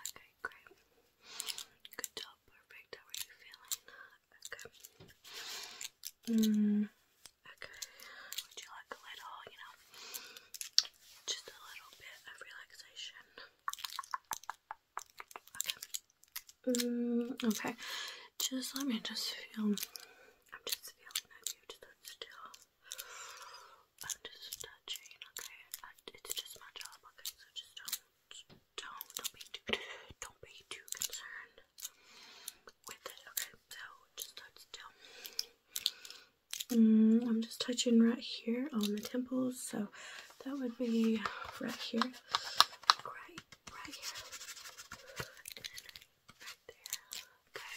Okay, great. Good job, perfect. How are you feeling? Okay. Mm, okay. Would you like a little, you know, just a little bit of relaxation? Okay. Mm, okay. Just let me just feel. I'm just feeling that you still. I'm just touching, okay? it's just my job, okay? So just don't, don't, don't be too, don't be too concerned with it, okay? So just touch still. Mm, I'm just touching right here on the temples, so that would be right here, right, right here, right there, okay?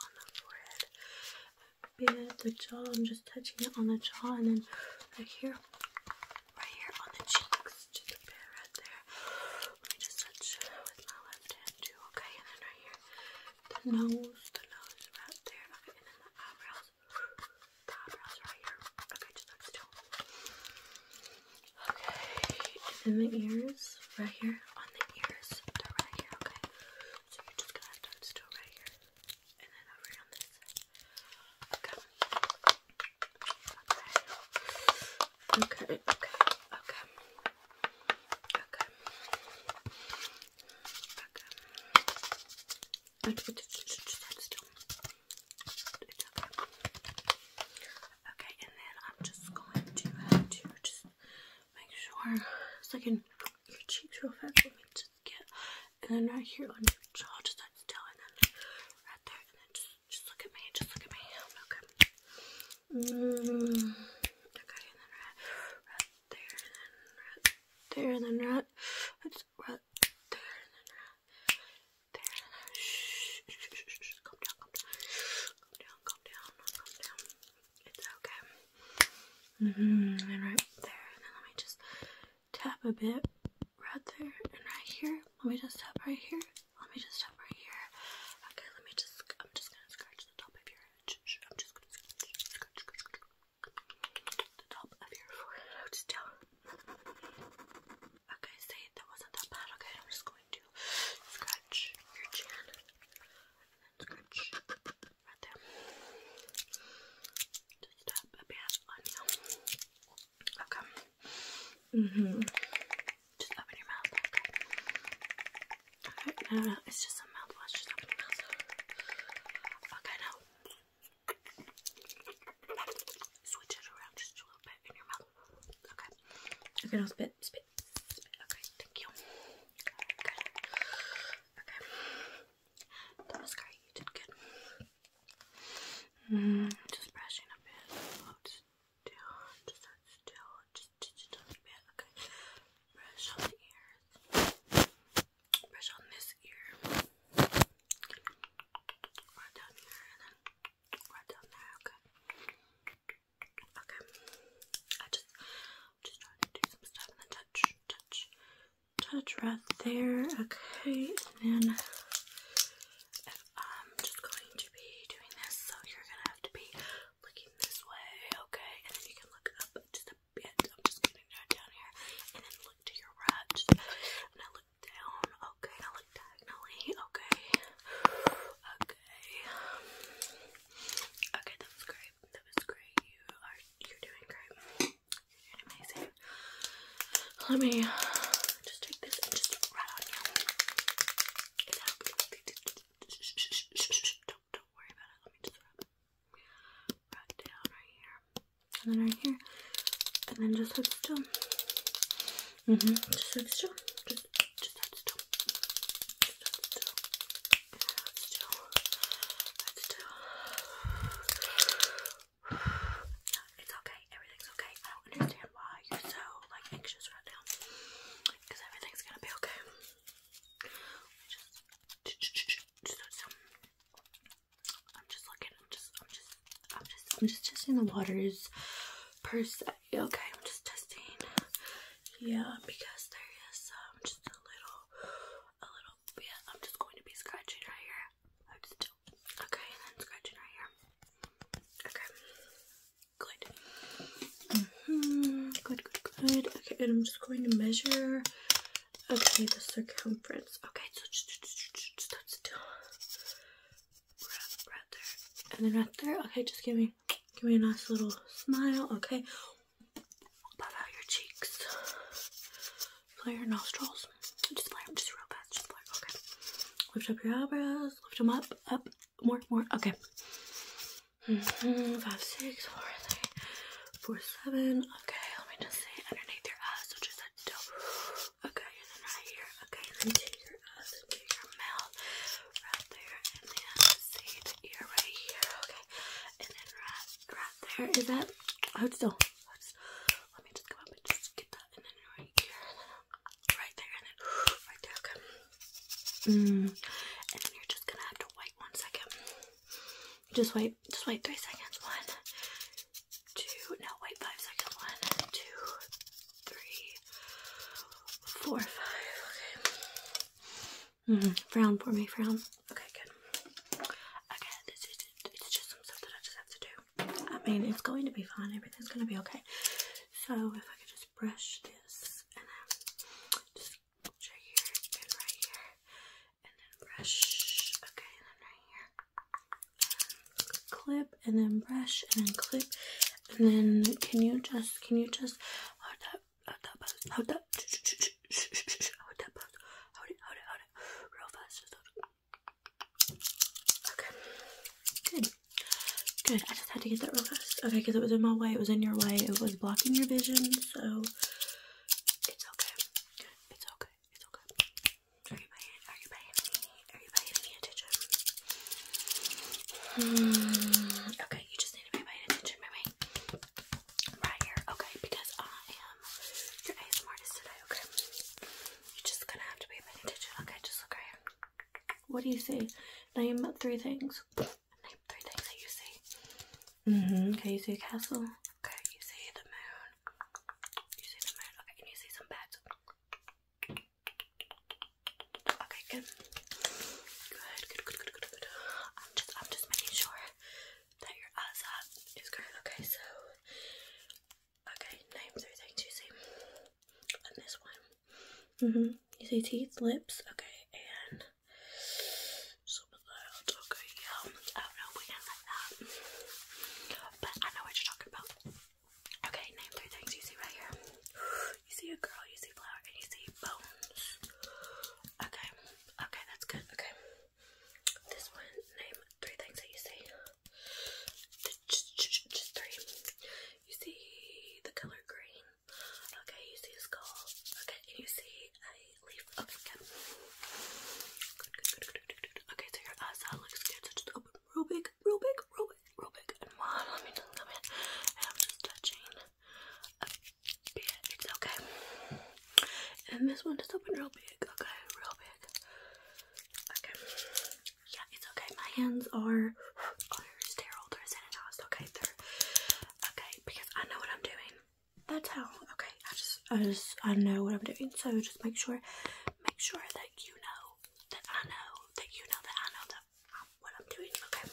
on the forehead, bit, the jaw, I'm just touching it on the jaw and then right here, right here on the cheeks, just a bit right there. Let me just touch with my left hand too, okay? And then right here, the nose, the nose right there, okay? And then the eyebrows, the eyebrows right here, okay? Just look still. Okay, and then the ears, right here, on the ears, they're right here, okay? So you're just gonna have to still right here and then over on this okay. okay, okay, okay, okay, okay, okay, stand still, it's okay, okay, and then I'm just going to, uh, to just make sure, so I can, your cheeks real fast for me just get and then right here on your jaw, just like still, and then right there, and then just just look at me, just look at me. Okay. Mm, okay, and then right, right there, and then right there, and then right, it's right there, and then right there, and then shh, shh, shh, shh, shh. calm down, calm down, calm down, calm down, calm down. It's okay. Mm -hmm. And right there. And then let me just tap a bit right there and right here. Let me just tap right here. Let me just tap right here. Okay, let me just. I'm just gonna scratch the top of your head. I'm just gonna scratch, scratch, scratch, scratch the top of your forehead. I'll just tell. Okay, see, that wasn't that bad. Okay, I'm just going to scratch your chin and then scratch right there. Just tap a bit on you. Okay. hmm Just open your mouth. Okay. Alright, no, no, it's just a mouthwash. Just open your mouth. Okay, now. Switch it around just a little bit in your mouth. Okay. Okay, now spit, spit, spit. Okay, thank you. Good. Okay. was great. you did good. Mm, just brushing a bit. just still, just still, just, just, a bit. Okay. Brush on the ears. Brush on this ear. Right down here, and then right down there. Okay. Okay. I just just trying to do some stuff and then touch, touch, touch right there. Okay, and then if I'm just going to be doing this, so you're gonna have to be looking this way, okay? And then you can look up just a bit. I'm just gonna go down here and then look to your right. and I look down, okay, I look diagonally, Okay, Okay. okay, that was great. That was great. You are you're doing great. You're amazing. Let me just take this and just right on you. don't don't worry about it. Let me just right down right here. And then right here. And then just sit still. Mm-hmm. Just sit still. It's okay. Everything's okay. I don't understand why you're so like anxious right now. Because everything's gonna be okay. I'm just looking. I'm just, I'm just, I'm just, I'm just testing the waters per se. Okay, I'm just testing. Yeah, because there is um just a little, a little bit. I'm just going to be scratching right here. I just do. Okay, and then scratching right here. Okay, good. Good, good, good. Okay, and I'm just going to measure. Okay, the circumference. Okay, so just, just, just, just start still. Right, right there, and then right there. Okay, just give me. Okay, give me a nice little smile. Okay, puff out your cheeks, flare your nostrils. Just flare them, just real fast. Just flare. Okay, lift up your eyebrows. Lift them up, up, more, more. Okay. Mm -hmm. Five, six, four, three, four, seven. Okay, let me just see underneath your eyes, which is a dope. Okay, and then right here. Okay, and then to your eyes, into your mouth right there, and then see the right here, okay? And then right, right there is that. Hold do. Hold still. Let me just go up and just get that, and then right here, right there, and then right there, okay? Mm. And then you're just gonna have to wait one second. Just wait, just wait three seconds. One, two, no, wait five seconds. One, two, three, four, five. Okay. Mm -hmm. Frown for me, frown. Okay, good. Okay, this is it's just some stuff that I just have to do. I mean, it's going to be fine. Everything's going to be okay. So if I could just brush this and then right here and then brush. Okay, and then right here. And clip and then brush and then clip and then can you just can you just hold that hold that pose hold that hold that pose hold it hold it hold it real fast just hold it. Okay. Good. Good. I just had to get that real fast. Okay, because it was in my way, it was in your way, it was blocking your vision, so it's okay. It's okay. It's okay. Are you my hand? Are you my hand? Are Hmm, okay, you just need to be paying attention, baby. Right here, okay, because I am your ASMR today, okay? You're just gonna have to be attention, okay? Just look right here. What do you see? Name three things. Name three things that you see. Mm-hmm. Okay, you see a castle. Okay, you see the moon. You see the moon. Okay, and you see some bats. Okay, good. Good, good, good, good, good, good. I'm just I'm just making sure that your eyes up is going okay, so okay, name three things you see. And this one. hmm You see teeth, lips, okay, and some of that. Okay, yeah. I don't know if we can like that. But I know what you're about. Okay, name three things you see right here. You see a girl, you see flower, and you see bones. Okay, okay, that's good. Okay, this one, name three things that you see. Just, three. You see the color green. Okay, you see skull. Okay, you see a leaf. Okay, good. Okay, so your eyes looks good. So just open real big, real big, real Rubik and Let me just come in I'm just touching It's okay. And this one just opened real big. Okay, real big. Okay. Yeah, it's okay. My hands are are sterile. They're sanitized. Okay, okay because I know what I'm doing. That's how. Okay, I just I just I know what I'm doing. So just make sure make sure that you know that I know, that you know, that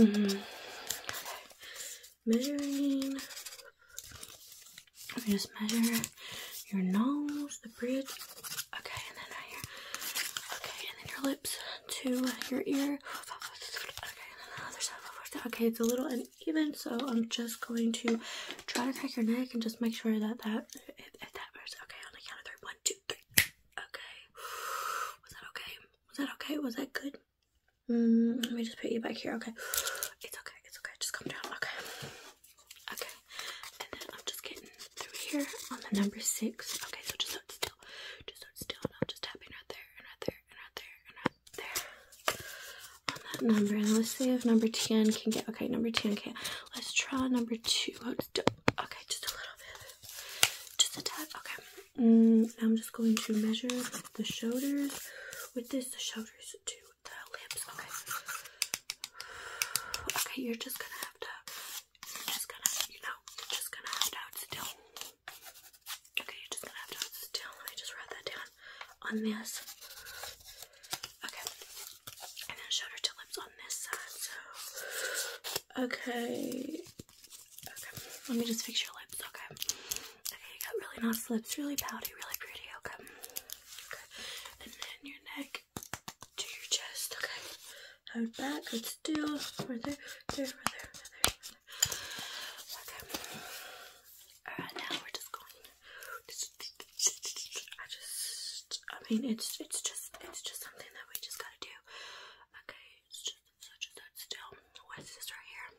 I know that am what I'm doing. Okay. Mm-hmm. Okay. Measuring. just measure your nose, the bridge. Okay, and then right here. Okay, and then your lips to your ear. Okay, and then the other side. Okay, it's a little uneven, so I'm just going to try to crack your neck and just make sure that that if, that works, okay, on the count of three. One, Okay. Was that okay? Was that okay? Was that good? Mm, let me just put you back here, okay? It's okay, it's okay. Just come down, okay? Okay. And then I'm just getting through here on the number six. Okay, so just hold still. Just hold still, and I'm just tapping right there, and right there, and right there, and right there. On that number, and let's see if number 10 can get. Okay, number 10 can. Let's try number two. Oh, okay, just a little bit. Just a tad. Okay. Mm, I'm just going to measure the shoulders with this, the shoulders to the lips. Okay. Okay, you're just gonna have to, you're just gonna, you know, you're just gonna have to hold still. Okay, you're just gonna have to hold still. Let me just write that down on this. Okay. And then shoulder to lips on this side. okay. Okay. Let me just fix your lips. Okay. Okay, you got really nice lips, really pouty, really pretty. Okay. Okay. And then your neck to your chest. Okay. Hold back. Good still. Right there. There. Right there. there. Okay. Alright, now we're just going. I just, I mean, it's it's just it's just something that we just gotta do. Okay, it's just such as that still. What is this right here?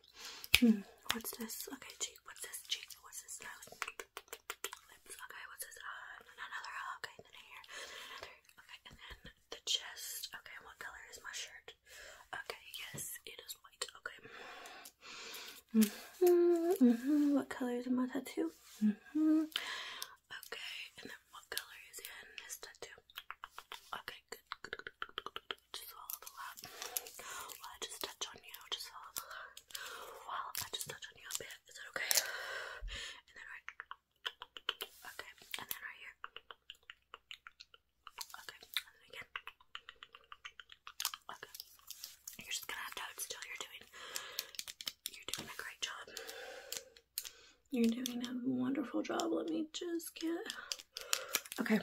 Hmm, what's this? Okay, cheek. What's this? Cheek. What's this? Nose. Lips. Okay, what's this? Uh, another. Uh, okay, and then here. Another. Okay, and then the chest. Okay, what color is my shirt? Okay, yes, it is white. Okay. Mm -hmm, What color is in my tattoo? Mm -hmm. Okay, and then what color is in this tattoo? Okay, good, Just follow the lap. While I just touch on you, just follow the I just touch on you a bit, is that okay? And then right. Okay, and then right here. Okay, and then again. Okay. You're just gonna have to hold You're doing you're doing a great job. You're doing a wonderful job. Let me just get Okay.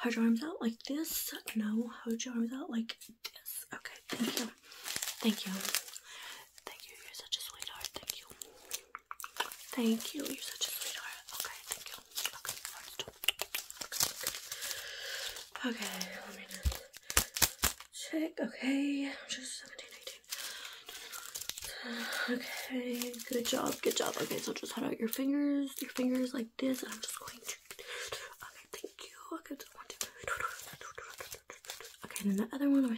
Hold your arms out like this. No, hold your arms out like this. Okay, thank you. Thank you. Thank you. You're such a sweetheart. Thank you. Thank you. You're such a sweetheart. Okay, thank you. Okay, let me check. Okay, just 17, Okay, good job, good job. Okay, so just hold out your fingers, your fingers like this, and I'm just going to. Okay, thank you. Okay, Okay, then the other one. Okay,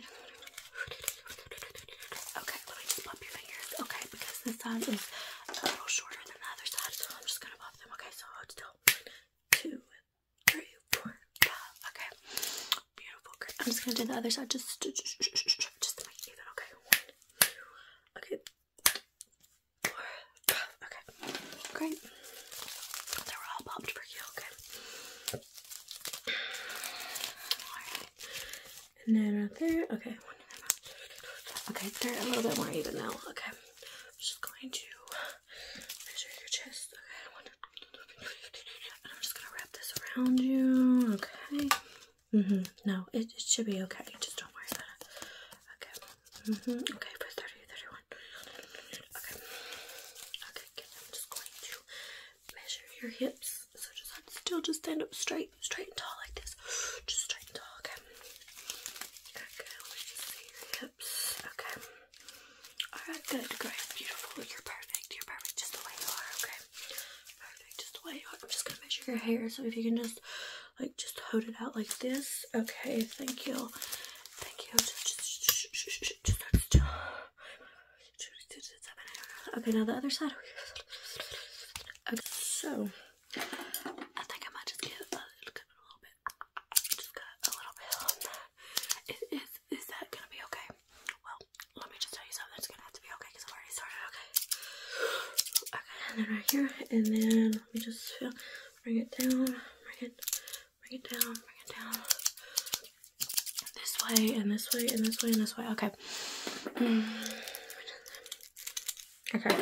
let me just pop your fingers. Okay, because this side is a little shorter than the other side, so I'm just gonna pop them. Okay, so hold still one, two, three, four, five. Okay. Beautiful. Great. I'm just gonna do the other side just just, just to make it even. Okay. One, two, okay. Four, five. Okay. Great. They were all popped for you. Okay. Alright. And then right there. Okay. Okay, they're a little bit more even now. Okay. I'm just going to measure your chest. Okay, I'm just gonna wrap this around you. Okay. hmm No, it, should be okay. Just don't worry about it. Okay. hmm Okay, for 30, Okay. Okay, I'm just going to measure your hips. So just still just stand up straight, straight and tall like this. Just straight and tall, okay? Okay, let me just see Okay. Alright, good, great, beautiful. You're perfect. You're perfect just the way you are, okay? Perfect, just the way you are. I'm just gonna measure your hair, so if you can just like just hold it out like this. Okay, thank you. Thank you. Okay, now the other side. Okay, so I think I might just get a little, bit, just got a little bit is, is that gonna be okay? Well, let me just tell you something that's gonna have to be okay because i am already started, okay? Okay, and then right here, and then let me just feel, bring it down, bring it, bring it down, bring it down. This way, and this way, and this way, and this way, okay. Hmm, okay,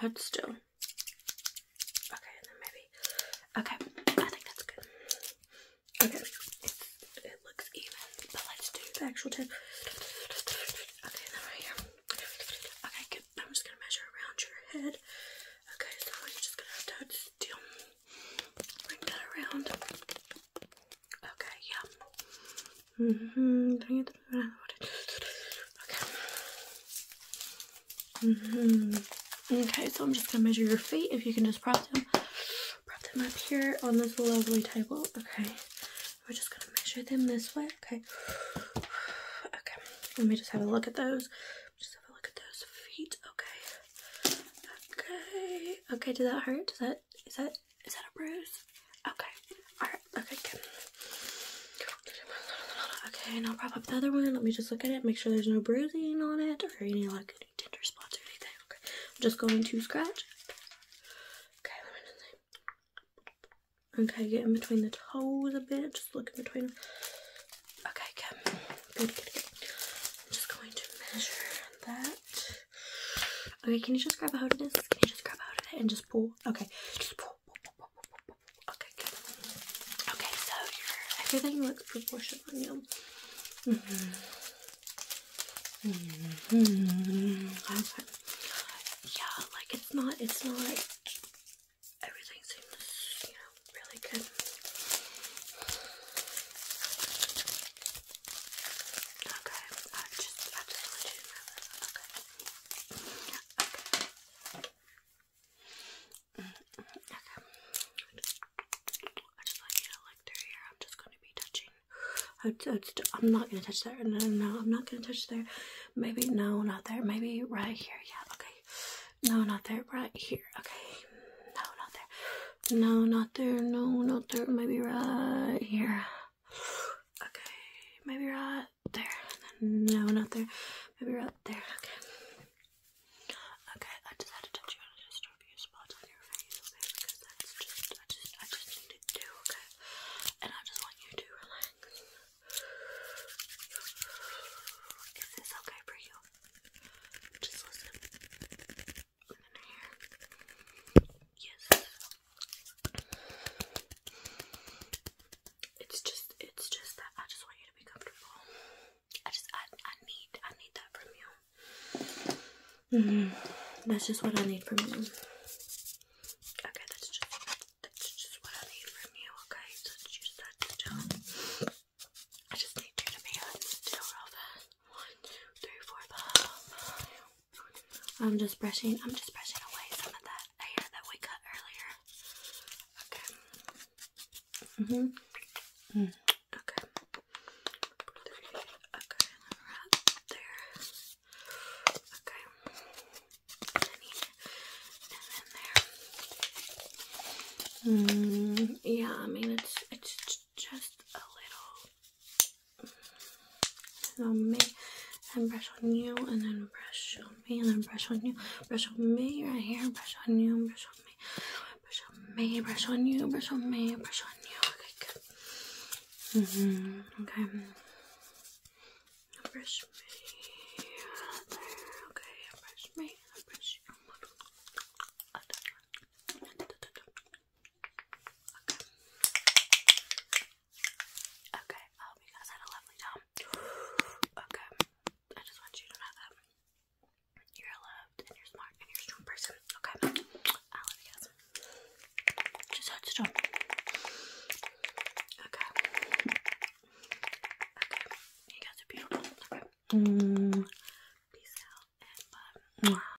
Hold still. Okay, and then maybe. Okay, I think that's good. Okay, it's, it looks even, but let's do the actual tip. Okay, and then right here. Okay, good. I'm just gonna measure around your head. Okay, so you're just gonna have to hold still. Bring that around. Okay, yeah. Mm -hmm. Okay. -hmm. Okay, so I'm just gonna measure your feet. If you can just prop them, prop them up here on this lovely table. Okay. We're just gonna measure them this way. Okay. Okay. Let me just have a look at those. Just have a look at those feet. Okay. Okay. Okay. Did that hurt? Does that? Is that? bruise? Is that a bruise? Okay. Alright. Okay, good. Okay, now prop up the other one. Let me just look at it. Make sure there's no bruising on it or any like any tender spots or anything. Okay. I'm just going to scratch. Okay, let me just see. Okay, get in between the toes a bit. Just look in between them. Okay, good. Good, good, good. I'm just going to measure that. Okay, can you just grab a hold of this? Can you just grab a hold of it and just pull? Okay. Okay. Okay, good. Okay, so everything looks proportional on you. Mm -hmm. Yeah, like it's not, it's not. Everything seems, you know, really good. Okay. I just like you to look through here. I'm just going to be touching. I'm not going to touch there. No, no, no. I'm not going to touch there. Maybe, no, not there. Maybe right here. Yeah, okay. No, not there. Right here. Okay. No, not there. No, not there. No, not there. Maybe right here. Okay, maybe right there. No, not there. Maybe right there. Okay. Okay, I just had to touch you on a disturb you spots on your face, okay? Because that's just I just I just need to do, okay? And I just want you to relax. Is this okay for you? Just listen. Under here. Yes. It's just, it's just that I just want you to be comfortable. I just, I, I need, I need that from you. Mm-hmm. That's just what I need from you. Okay, that's just, that's just what I need from you. Okay, so just have to I just need you to be One, two, three, four, five. I'm just brushing. I'm just brushing away some of that hair that we cut earlier. Okay. Mhm. Mm okay. Okay. there. Okay. And then there. Mm, yeah. I mean, it's it's just a little and on me, and brush on you, and then brush on me, and then brush on you, brush on me right here, brush on you, brush on me, brush on me, brush on you, brush on me, brush on you. Okay, good. Mm -hmm. Okay. Brush me. There. Okay, brush me. Brush you. Okay. Okay, I you guys had a lovely time. Okay, I just want you to know that you're loved and you're smart and you're strong person. Okay, I love you guys. Just hold strong. Okay. Okay, you guys are beautiful. Okay. Mm. Peace out and bye. Mm.